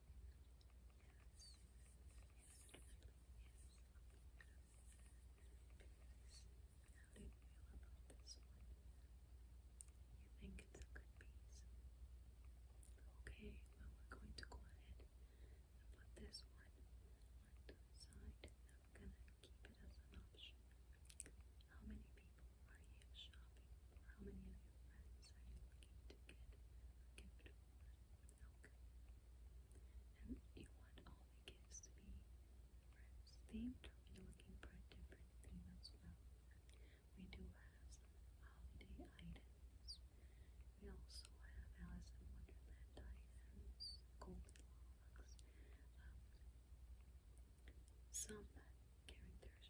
You think it's a good piece? Okay, we're going to go ahead and put this one on the side. I'm going to keep it as an option. How many people are you shopping? How many of your friends are you looking to get a gift for? And you want all the gifts to be friends themed, are you looking for a different theme as well? We do have holiday items. We also have Alice in Wonderland items, Goldilocks, um, some characters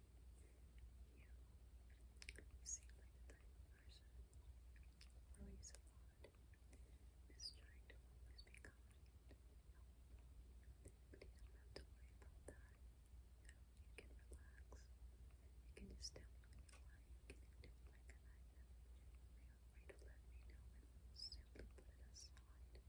You seem like the type of person who worries trying to always be kind But you don't have to worry about that. You, can relax. You can just tell me what you like. You can do it like I Feel free to let me know and we'll simply put You're not obligated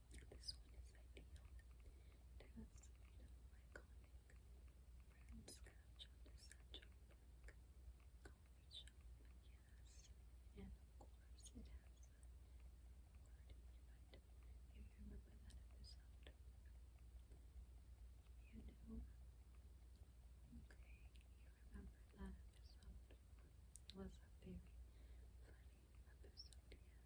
This one is ideal. It has no iconic brown scratch on the satchel book. Coffee shop, yes. And of course it has a word unit. You remember that episode? You know? Okay, you remember that It was a very funny yes. So we have here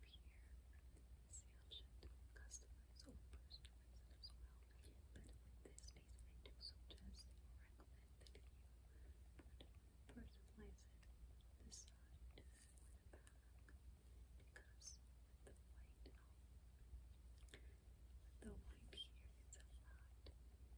is the option to customize or personalize it as well. But with this piece, I do suggest or recommend that you personalize it the because the white, the white here, a lot.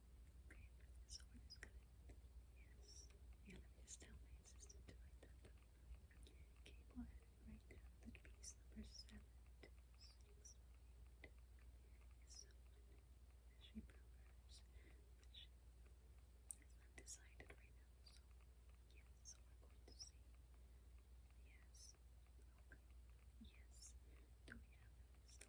Okay, so we're just gonna, yes, yeah, let me just tell my assistant to write that Okay, go write down piece number seven, two, six, eight, is someone she programs, but she is undecided right now, so yes, so we're going to see, yes, Yes. Do we have stock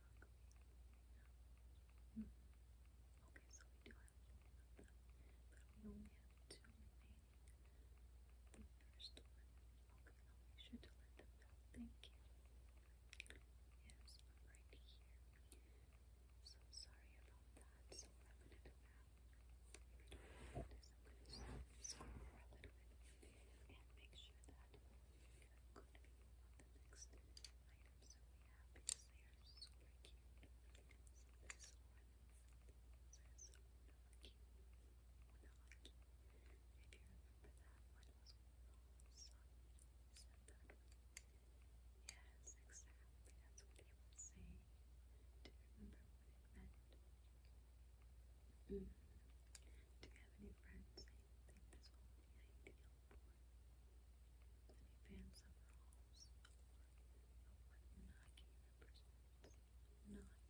hmm. Okay, so we do have one but we only have two remaining. The first one. Okay, I'll make sure to let them know. Thank you. Yes, right here. So sorry about that. So I'm gonna do now is I'm gonna scroll a little bit and make sure that could the next items that we have because they are super cute. this one says Unalaki. Unalaki. If you remember that one Yes, exactly. That's what he was saying. Do you remember what it meant? Mm. Do you have any friends think this will be ideal for many fans of Rawls Yes, it's a beautiful, beautiful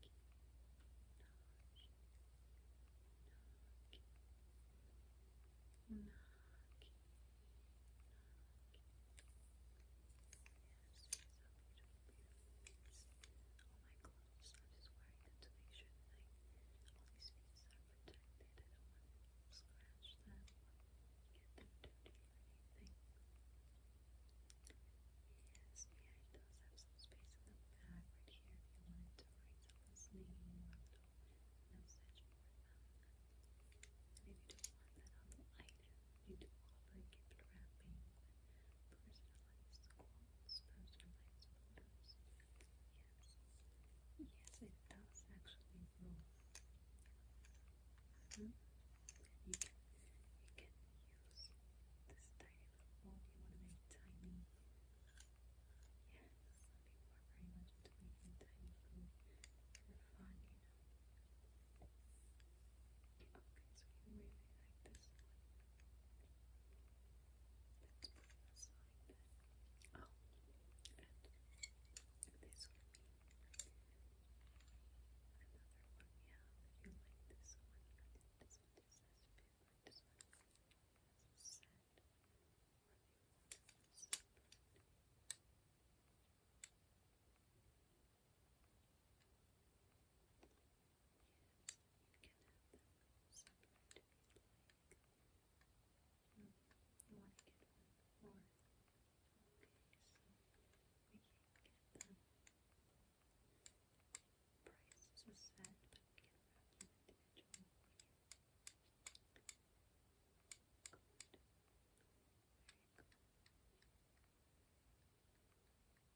piece. Oh my god also just wearing them to make sure that all these pieces are protected. I don't scratch them get them dirty or anything. Yes, yeah, it have some space in the back right here if you wanted to write someone's name or a And if you don't want that on item, you do offer gift wrapping personalized quotes, personalized photos, Yes. Yes, it does actually grow. Mm-hmm. You can you can use this tiny little bowl. You want to make tiny. Yes, some people are very much into making tiny food for fun, you know. Okay, so you really like this Let's put it aside then. Oh, and this would be another one, yeah, that you like this one. This one just says bit, but this one has a set. Or if you want it separate. This one you can have them separate if you'd like. Mm, you want to get one more. Okay, so we can't get them. Prices are set, but we can wrap them individually. Good. Very good.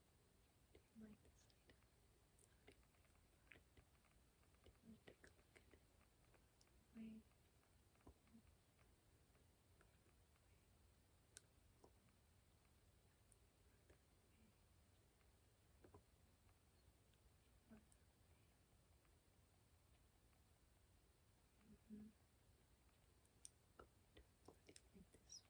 Do you like this item? Wait. Cool. Cool. Good. What do you